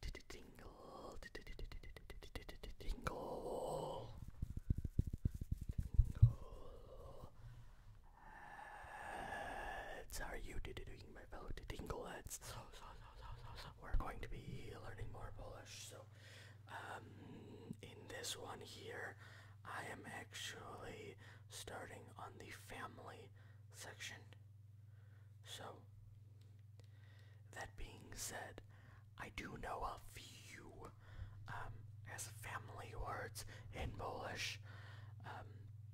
Tingle, tingle, How are you doing, my fellow tingle heads? So, so, so, so, so, we're going to be learning more Polish. So, um, in this one here, I am actually starting on the family section. So, that being said, I do know a few um, as family words in Polish, um,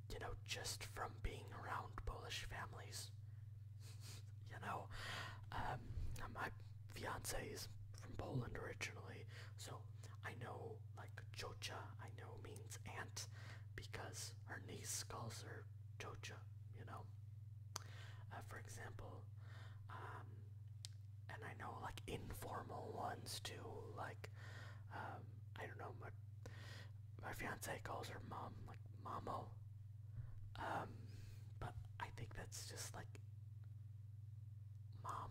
you know, just from being around Polish families. you know, um, my fiance is from Poland originally, so I know like Chocha, I know means aunt because her niece calls her chocha, you know. Uh, for example, um, and I know like informal ones too, like um, I don't know, my my fiance calls her mom like mamo, um, but I think that's just like mom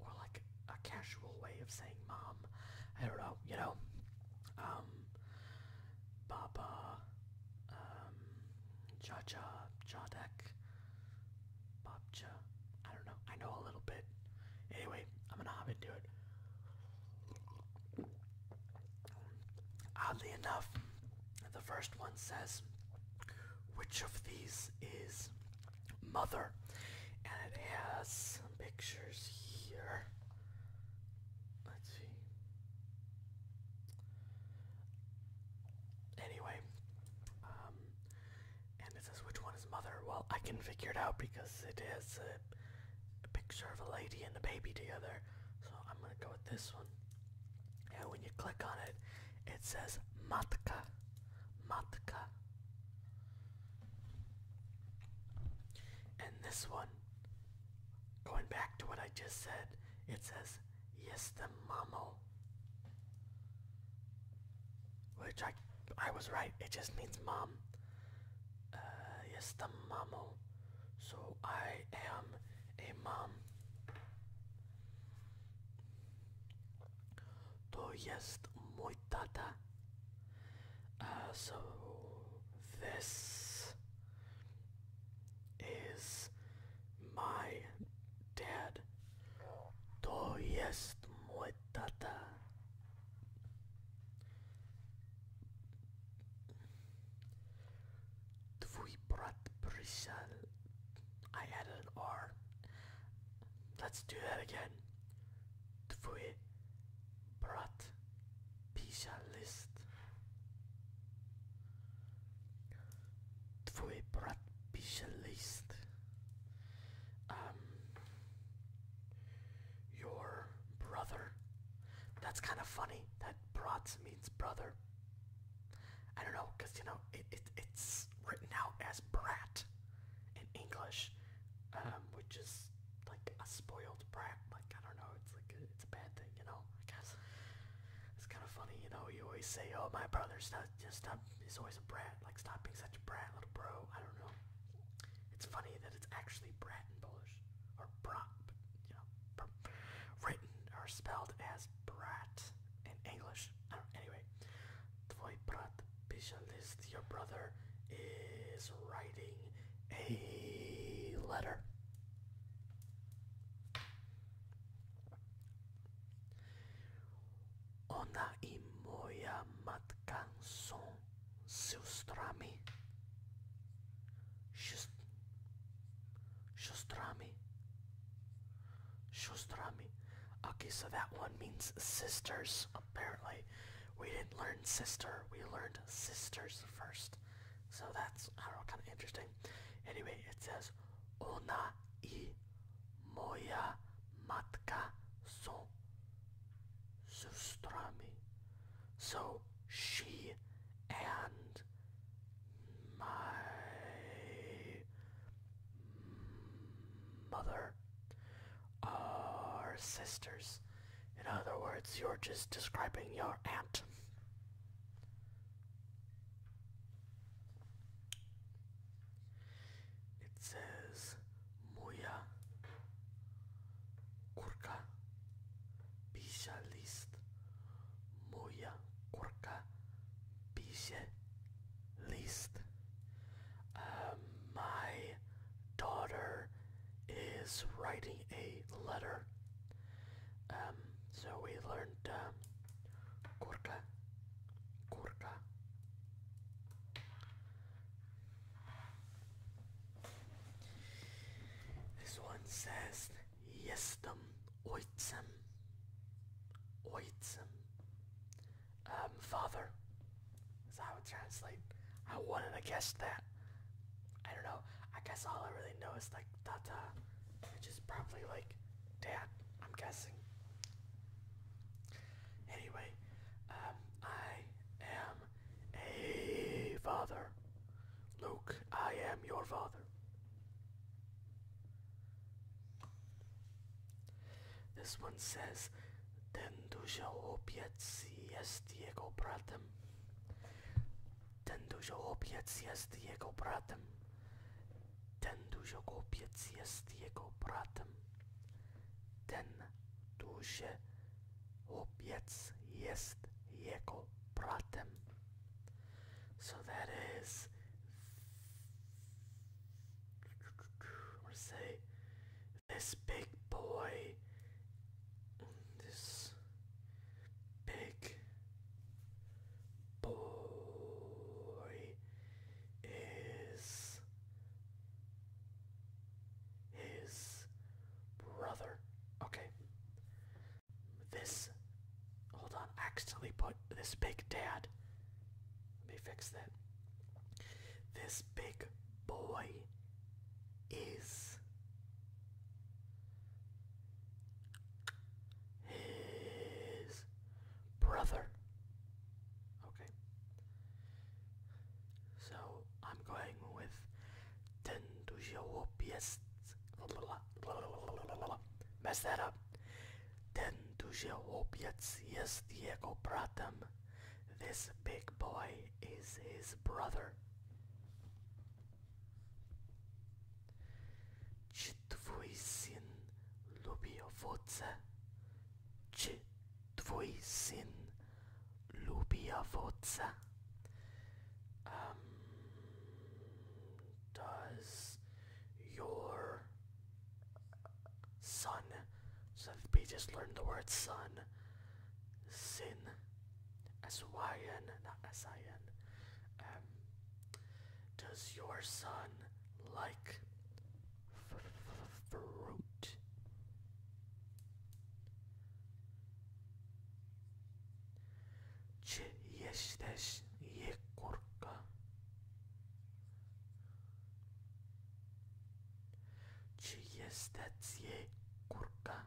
or like a casual way of saying mom. I don't know, you know. Um, Cha Cha, Jodek, Bobcha. I don't know. I know a little bit. Anyway, I'm gonna hop into it. Oddly enough, the first one says, which of these is mother? And it has some pictures here. Let's see. Anyway, um, and it says which one is mother. Well, I can figure it out because it is a, a picture of a lady and a baby together. So I'm gonna go with this one. And when you click on it, it says matka, matka. And this one Going back to what I just said, it says, yes, the mamo. Which I, I was right, it just means mom. Uh, yes, the mamo. So I am a mom. To jest mój tata. Uh, so this is my dad. To jest mój tata. Twój brat przyszedł. I added an R. Let's do that again. Twój brat Pijalist. Twój brat pijalist. Um, your brother. That's kind of funny. That brat means brother. I don't know, cause you know it, it it's written out as brat in English, um, which is like a spoiled brat. Like I don't know, it's like it's a bad thing, you know, I guess. It's kind of funny, you know, you always say, oh, my brother's not, just a he's always a brat, like, stop being such a brat, little bro, I don't know. It's funny that it's actually brat in Polish, or brat, you know, written or spelled as brat in English. I don't, anyway, Tvoj brat Pishalist, your brother, is writing a letter. Ona i moja matka są siostrami. Siostrami. Siostrami. Okay, so that one means sisters, apparently. We didn't learn sister, we learned sisters first. So that's, kind of interesting. Anyway, it says, Ona i moja matka są sustrami. So she and my mother are sisters. In other words, you're just describing your aunt. It says Moya Kurka Bisha List Moya Kurka Bisha List um, My daughter is writing a letter um, so we learned uh, kurka, kurka. This one says jestem ojcem, oitsem." Um, father. as I would translate. I wanted to guess that. I don't know. I guess all I really know is like Tata, which is probably like Dad, I'm guessing. Anyway, um, I am a father. Luke, I am your father. This one says, Ten duša opět si jest jeho bratem. Ten dużo duziołopiec jest jego bratem. Ten dużo duziołopiec jest jego bratem. Ten dużo duziołopiec jest jego bratem. So that is. I'm gonna say this big boy. This. Big boy is his brother. Okay. This. Hold on. accidentally put this big dad. Let me fix that. This big boy is his brother. Okay. So I'm going with Tendujiwopiest. Mess that up. Tendujiwopiest Diego Pratam. This big boy is his brother. Czy twój lubia lubi owoce? Czy lubia syn lubi owoce? Um, does your son, so we just learned the word son, sin? S-Y-N, not S-I-N. Um, does your son like fruit? Czy jesteś jekórka? Czy jesteś jekórka?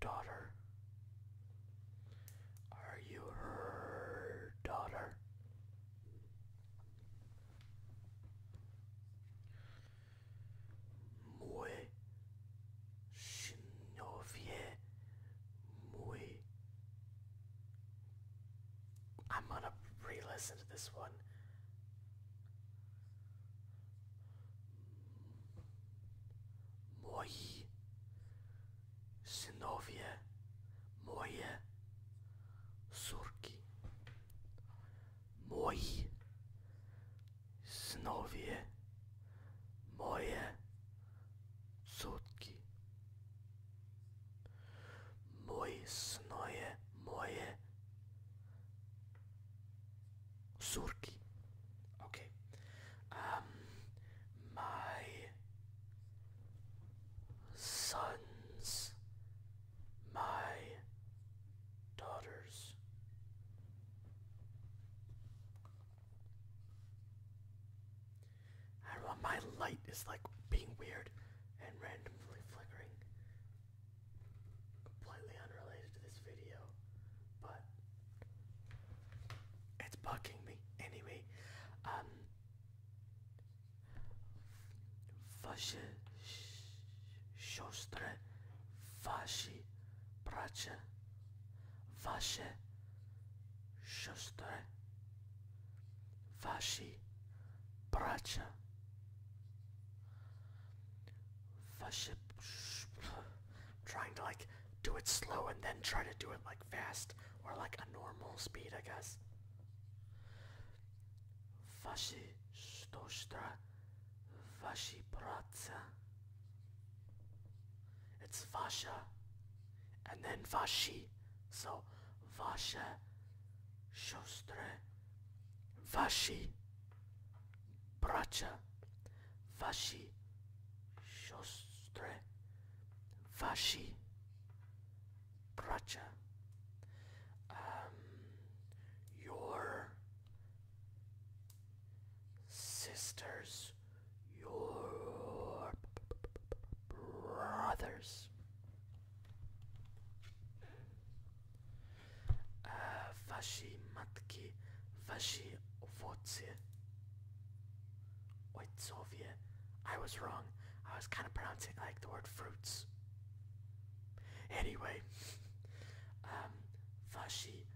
daughter? Are you her daughter? Muy Shinovie Muy I'm gonna re-listen to this one. Moi synowie, moje córki, moi synowie, moje córki, moi synowie, moje Surki. Okay. Um, my sons, my daughters. I don't know, my light is like being weird and randomly flickering completely unrelated to this video, but it's fucking me anyway. Um, wasze siostry, wasi bracia, wasze siostry, wasi Faship. Trying to like do it slow and then try to do it like fast or like a normal speed, I guess. Washi shostra, washi praca. It's Vasha, and then Vashi, so Vasha, shostra, Vashi, bracia, wasi, siostry, wasi, bracia, um, your sisters, your brothers vaší matki, vaši ovoce, oicovie. I was wrong. I was kind of pronouncing like the word fruits. Anyway, um, matki,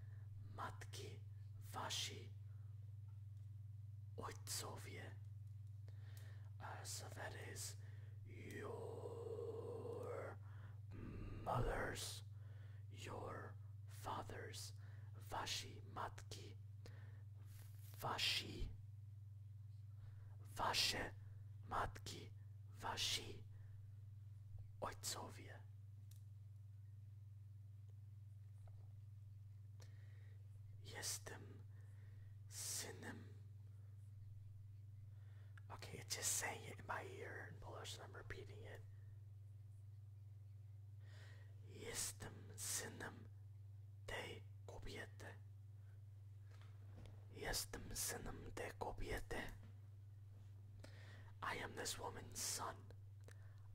matky, vaši oicovie. Uh, so that is your mothers, your fathers, wasi matki, wasi, matki, wasi ojcowie. Jestem synem Okay, it just sang it in my ear in Polish and I'm repeating it. Jestem synem tej kobiety. Jestem synem tej kobiety. I am this woman's son.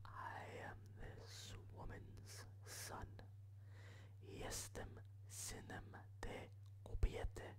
I am this woman's son. Jestem synem tej kobiety.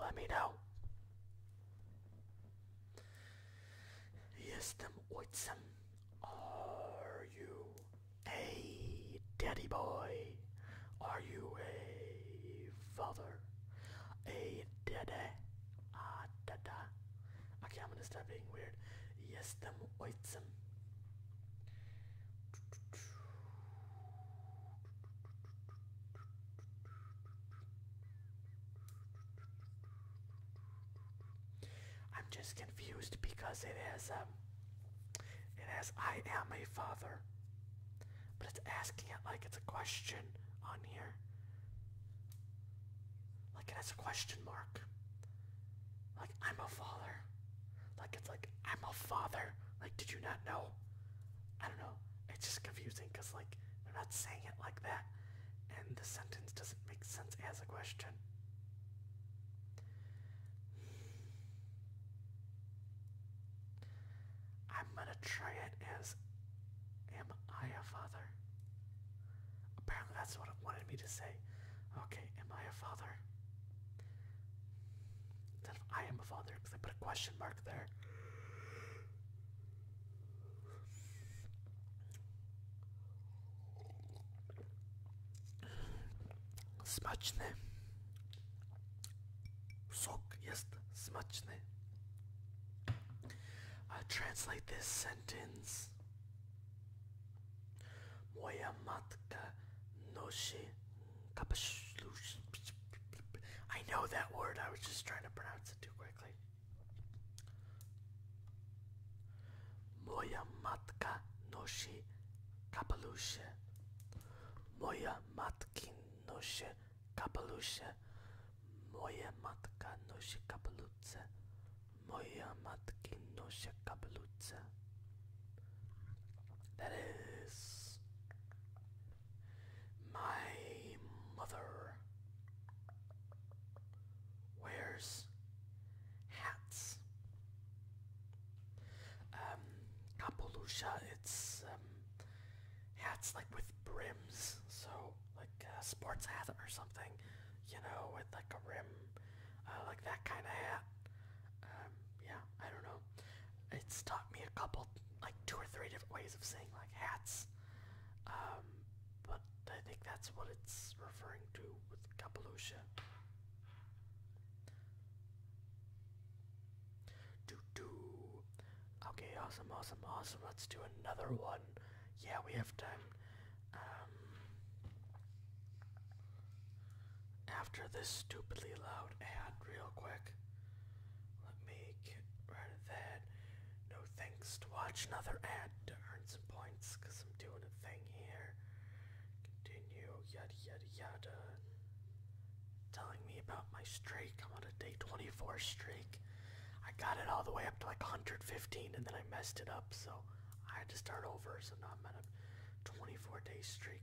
let me know. Jestem ojcem. Are you a daddy boy? Are you a father? A daddy? Ah, dada. Okay, I'm gonna start being weird. Yes, Jestem ojcem. I'm just confused because it is um it I am a father. But it's asking it like it's a question on here. Like it has a question mark. Like I'm a father. Like it's like I'm a father. Like did you not know? I don't know. It's just confusing because like I'm not saying it like that, and the sentence doesn't make sense as a question. I'm gonna try it as Am I a father? Apparently that's what it wanted me to say. Okay, am I a father? Instead of I am a father, because I put a question mark back there. jest smaczny. I translate this sentence. Moja matka nosi I know that word. I was just trying to pronounce it too quickly. Moya matka noshi kapalushe. Moya matkin noshi kapalushe. Moya matka noshi kapalutse. Moya matkin noshi kapalutse. That is my mother wears hats. Um, Kapolusha, it's um, hats like with brims, so like a uh, sports hat or something, you know, with like a rim, uh, like that kind of hat. Um, yeah, I don't know. It's taught me a couple, like two or three different ways of saying like hats. Um, but I think that's what it's referring to with Kapalusha. Do do. Okay, awesome, awesome, awesome. Let's do another one. Yeah, we have time. Um, after this stupidly loud ad, real quick. Let me get rid of that. No thanks to watch another ad to earn some points because I'm doing a thing here. Continue, yada yada yada. Telling me about my streak. I'm on a day 24 streak. I got it all the way up to like 115 and then I messed it up so I had to start over so now I'm at a 24 day streak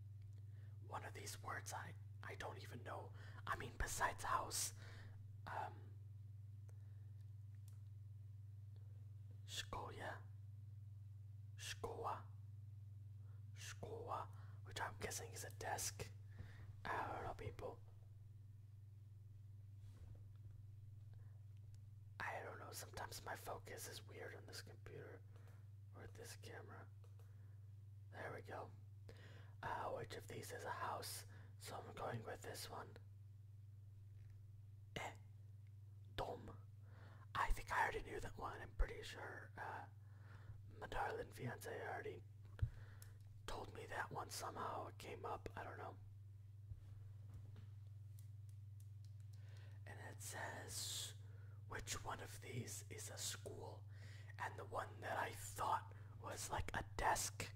one of these words I I don't even know. I mean besides house. Um Shkoya Shkoa Shkoa which I'm guessing is a desk. I don't know people. I don't know, sometimes my focus is weird on this computer. Or this camera. There we go. Uh, which of these is a house? So I'm going with this one. Eh. Dom. I think I already knew that one. I'm pretty sure uh, my darling fiance already told me that one somehow. It came up. I don't know. And it says which one of these is a school and the one that I thought was like a desk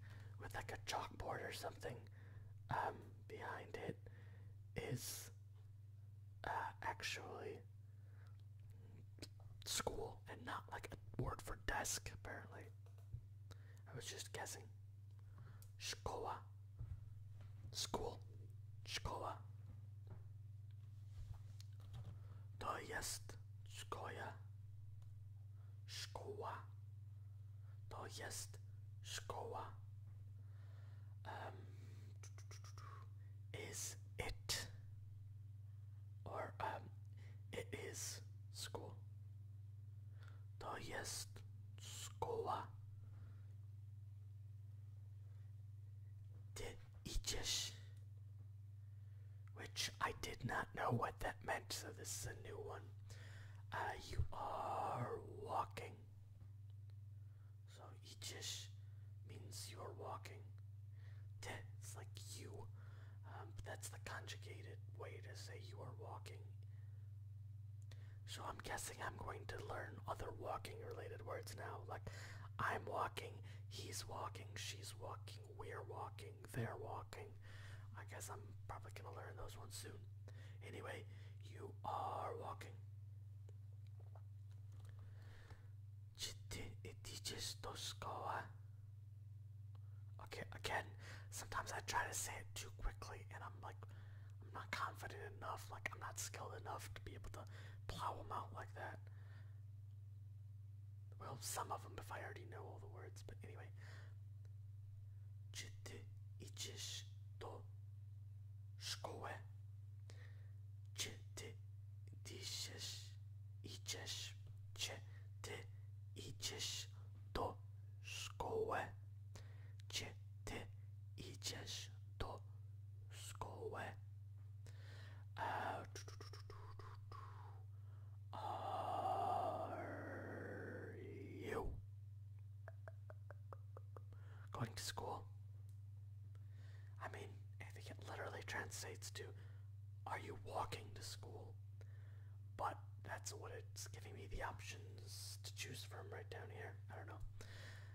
with like a chalkboard or something um, behind it is uh, actually school and not like a word for desk apparently. I was just guessing. Shkoa School. Szkoła. To jest szkoła. Szkoła. To jest szkoła. is it or it is school. To jest szkoła did Aegis, which I did not know what that meant, so this is a new one. Uh, you are walking. So Aegis means you are walking. it's like you. Um, that's the conjugated way to say you are walking. So I'm guessing I'm going to learn other walking related words now. Like I'm walking, he's walking, she's walking, we're walking, they're walking. I guess I'm probably gonna learn those ones soon. Anyway, you are walking. Okay, again, sometimes I try to say it too quickly and I'm I'm not confident enough, like I'm not skilled enough to be able to plow them out like that. Well, some of them if I already know all the words, but anyway. Jite ichish to shkoe. Jite dishish ichish. Jite ichish to shkoe. Jite Ty idziesz do szkoły. Are you going to school? I mean, I think it literally translates to are you walking to school? But that's what it's giving me the options to choose from right down here. I don't know.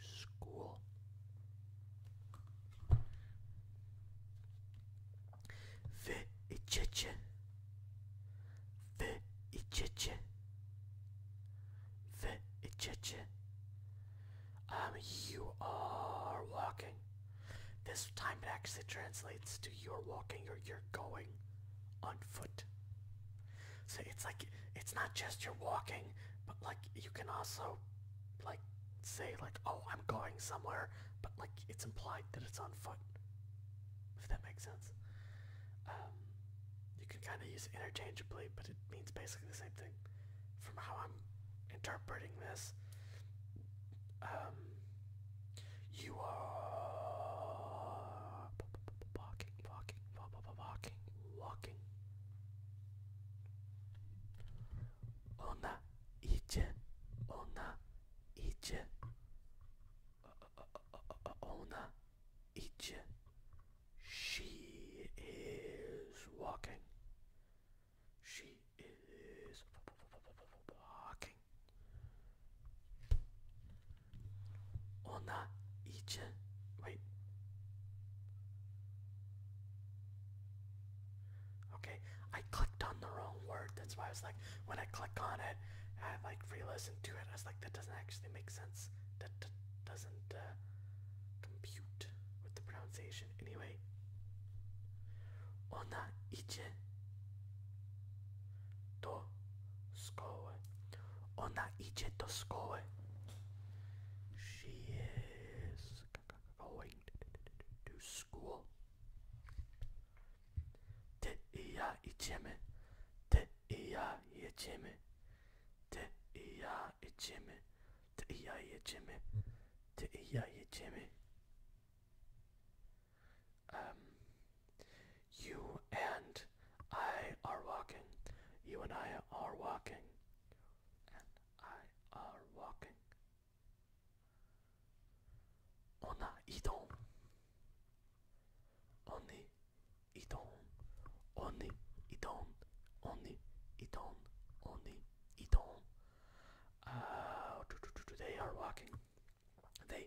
school. Wy idziecie. Wy Um, you are walking. This time it actually translates to you're walking or you're going on foot. So it's like it's not just you're walking, but like you can also like say like oh I'm going somewhere, but like it's implied that it's on foot. If that makes sense. Um, you can kind of use it interchangeably, but it means basically the same thing. From how I'm interpreting this, um, you are walking walking, walking, walking, walking. Ona idzie, ona idzie. Ona idzie. She is walking. She is walking. Ona için wait. Okay, I clicked on the wrong word. That's why I was like, when I click on it, I like re-listen to it. I was like, that doesn't actually make sense. That doesn't uh, compute with the pronunciation. Anyway, ona idzie do szkoły. Ona idzie do szkoły. She is going to school. Ty i ja idziemy. Ty i ja jedziemy. Ty i ja jedziemy. Ty i ja jedziemy. Ty i ja jedziemy. Um, you and I are walking. You and I are walking. I are walking. On a idon. Oni idon. Oni idon. Oni idon. Oni idon. Uh, they are walking. They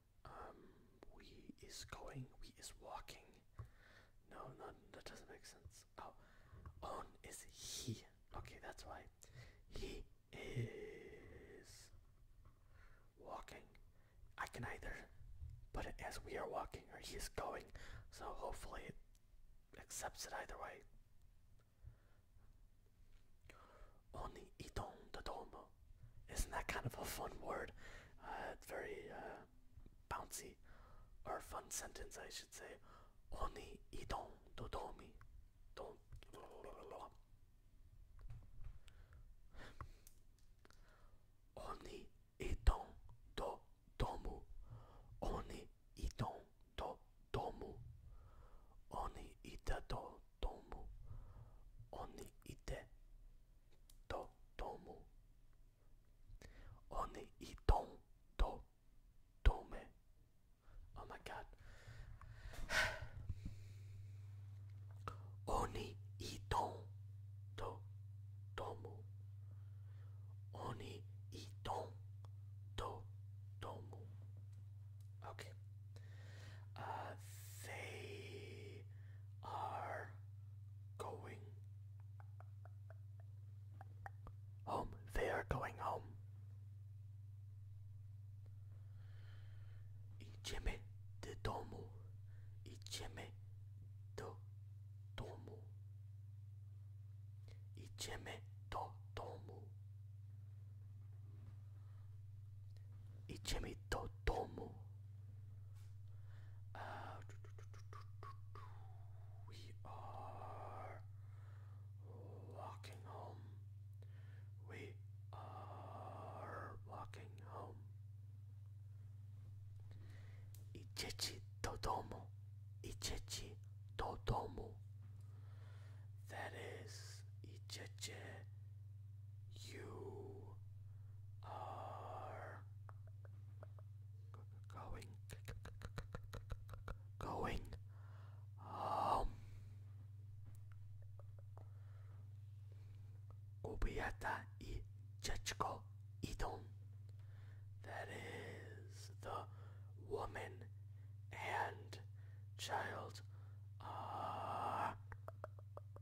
Um, we is going, we is walking. No, no, that doesn't make sense. Oh, on is he. Okay, that's why. He is walking. I can either put it as we are walking or he is going, so hopefully it accepts it either way. Isn't that kind of a fun word? Uh, very uh, bouncy or fun sentence, I should say. Oni idon dodomi. Don't. Oni idon do domu. Oni idon do domu. Oni ida do domu. Oni ite とともおにいとんととめ Oh my god おにいとんとともおにいとんととも Okay uh, they are going home. They are going home. Idziemy do domu. Idziemy do domu. Idziemy do domu. Ichimitotomo. we are walking home. We are walking home. Ichichi Dodomo. Ichichi Dodomo. That is Ichichi you are going going home. Kobieta i dziecko idą. That is the woman and child are ah